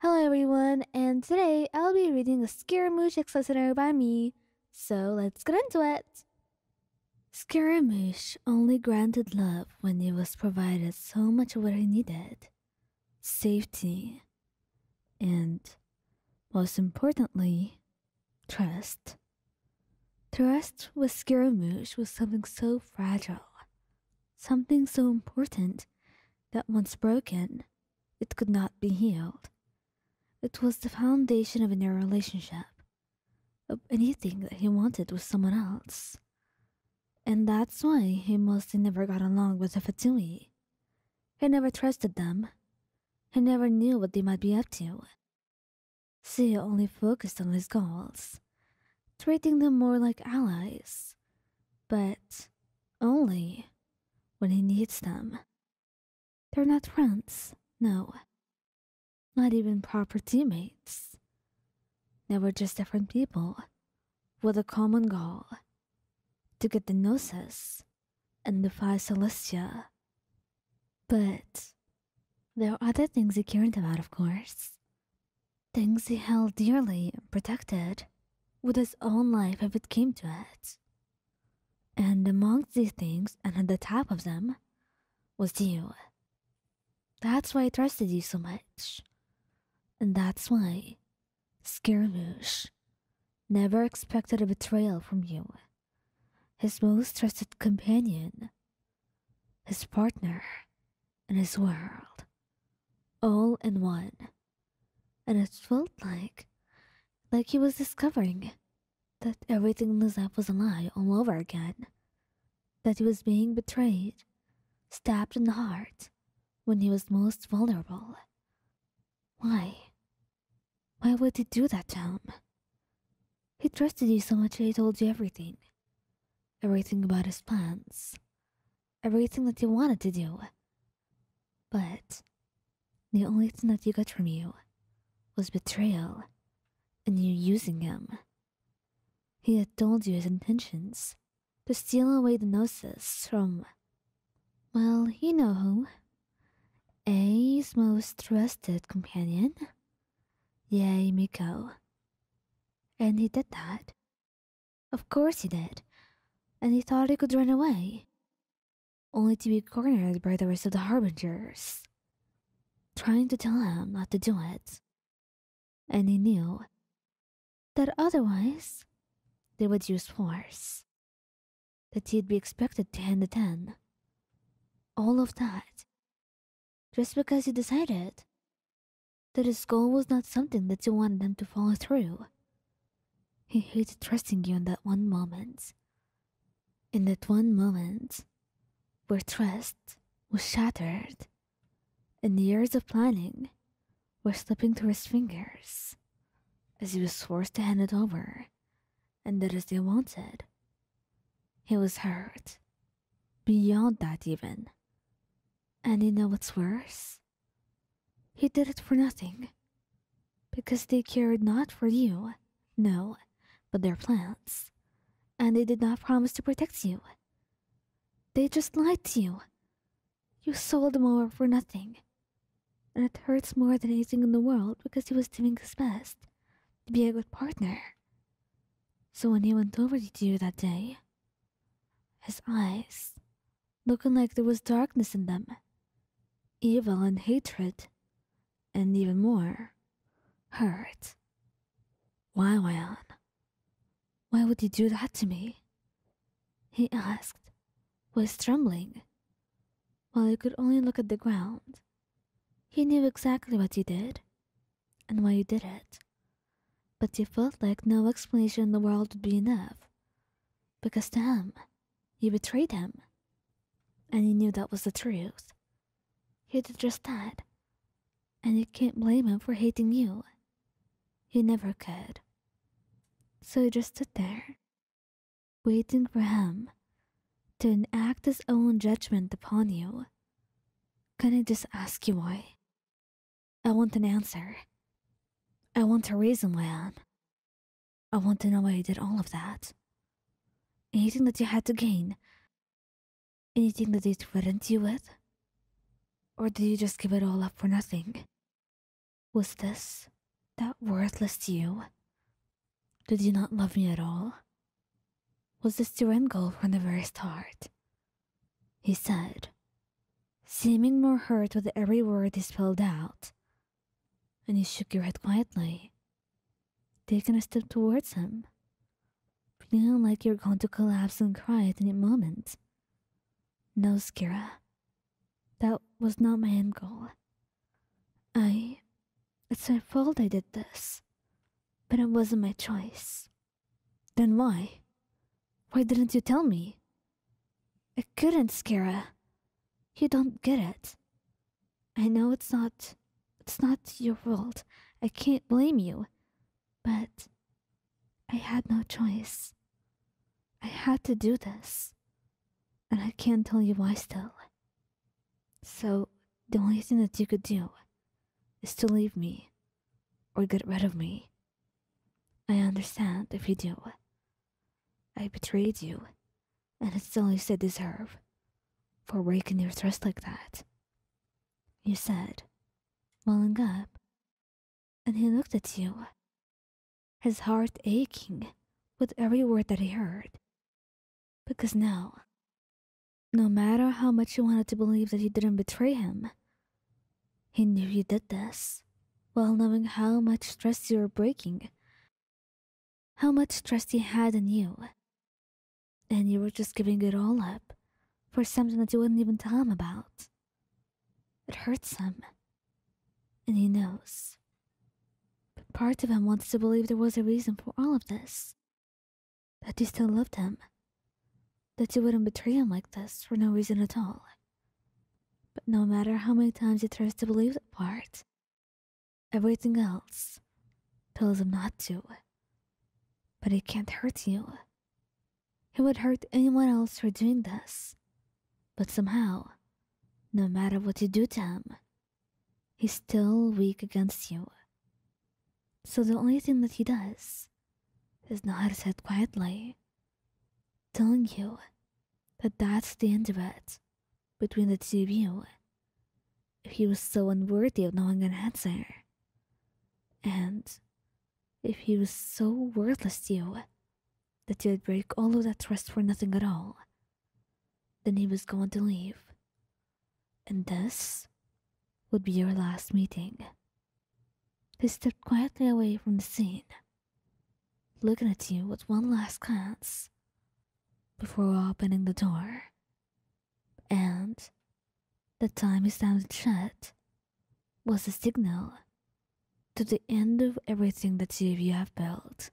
Hello everyone, and today I'll be reading a Scaramouche listener by me, so let's get into it! Scaramouche only granted love when it was provided so much of what he needed. Safety. And, most importantly, trust. Trust with Scaramouche was something so fragile, something so important that once broken, it could not be healed. It was the foundation of any relationship, of anything that he wanted was someone else. And that's why he mostly never got along with the Fatui. He never trusted them. He never knew what they might be up to. See, he only focused on his goals treating them more like allies, but only when he needs them. They're not friends, no. Not even proper teammates. They were just different people with a common goal to get the Gnosis and defy Celestia. But there are other things he cared about, of course. Things he held dearly and protected with his own life if it came to it. And amongst these things, and at the top of them, was you. That's why I trusted you so much. And that's why, Skirmish never expected a betrayal from you. His most trusted companion his partner, and his world, all in one. And it felt like, like he was discovering that everything in his life was a lie all over again. That he was being betrayed, stabbed in the heart, when he was most vulnerable. Why? Why would he do that to him? He trusted you so much that he told you everything. Everything about his plans. Everything that he wanted to do. But the only thing that you got from you was betrayal and you using him. He had told you his intentions to steal away the gnosis from, well, you know who. A's most trusted companion Yay, Miko. And he did that. Of course he did. And he thought he could run away. Only to be cornered by the rest of the Harbingers. Trying to tell him not to do it. And he knew that otherwise they would use force that he'd be expected to hand a 10. All of that. Just because he decided that his goal was not something that you wanted him to follow through. He hated trusting you in that one moment. In that one moment where trust was shattered and years of planning were slipping through his fingers as he was forced to hand it over and that is they wanted. He was hurt. Beyond that, even. And you know what's worse? He did it for nothing. Because they cared not for you, no, but their plants, And they did not promise to protect you. They just lied to you. You sold them over for nothing and it hurts more than anything in the world because he was doing his best to be a good partner. So when he went over to you that day, his eyes looking like there was darkness in them, evil and hatred, and even more, hurt. Why, Juan? Why would you do that to me? He asked, was trembling while you could only look at the ground. He knew exactly what you did and why you did it, but you felt like no explanation in the world would be enough because to him, you betrayed him, and he knew that was the truth. You did just that, and you can't blame him for hating you. You never could. So you just stood there waiting for him to enact his own judgment upon you. Can I just ask you why? I want an answer. I want a reason why, I want to know why you did all of that. Anything that you had to gain? Anything that they threatened you with? Or did you just give it all up for nothing? Was this that worthless you? Did you not love me at all? Was this to Rengel from the very start? He said, seeming more hurt with every word he spelled out. And you shook your head quietly, taking a step towards him, feeling like you're going to collapse and cry at any moment. No, Skira. That was not my end goal. I. It's my fault I did this. But it wasn't my choice. Then why? Why didn't you tell me? I couldn't, Skara. You don't get it. I know it's not. It's not your fault. I can't blame you. But I had no choice. I had to do this. And I can't tell you why still. So, the only thing that you could do is to leave me or get rid of me. I understand if you do. I betrayed you, and it's all you said deserve for breaking your trust like that. You said, welling up and he looked at you, his heart aching with every word that he heard. Because now, no matter how much you wanted to believe that you didn't betray him, he knew you did this while knowing how much trust you were breaking, how much trust he had in you. And you were just giving it all up for something that you wouldn't even tell him about. It hurts him. And he knows. But part of him wants to believe there was a reason for all of this. That you still loved him. That you wouldn't betray him like this for no reason at all. But no matter how many times he tries to believe that part, everything else tells him not to. But it can't hurt you. He would hurt anyone else for doing this. But somehow, no matter what you do to him, he's still weak against you. So the only thing that he does is know said quietly, telling you that that's the end of it between the two of you. If he was so unworthy of knowing an answer, and if he was so worthless to you that you'd break all of that trust for nothing at all, then he was going to leave. And this would be your last meeting. He stepped quietly away from the scene, looking at you with one last glance before opening the door and the time he sounded shut was a signal to the end of everything the two you have built.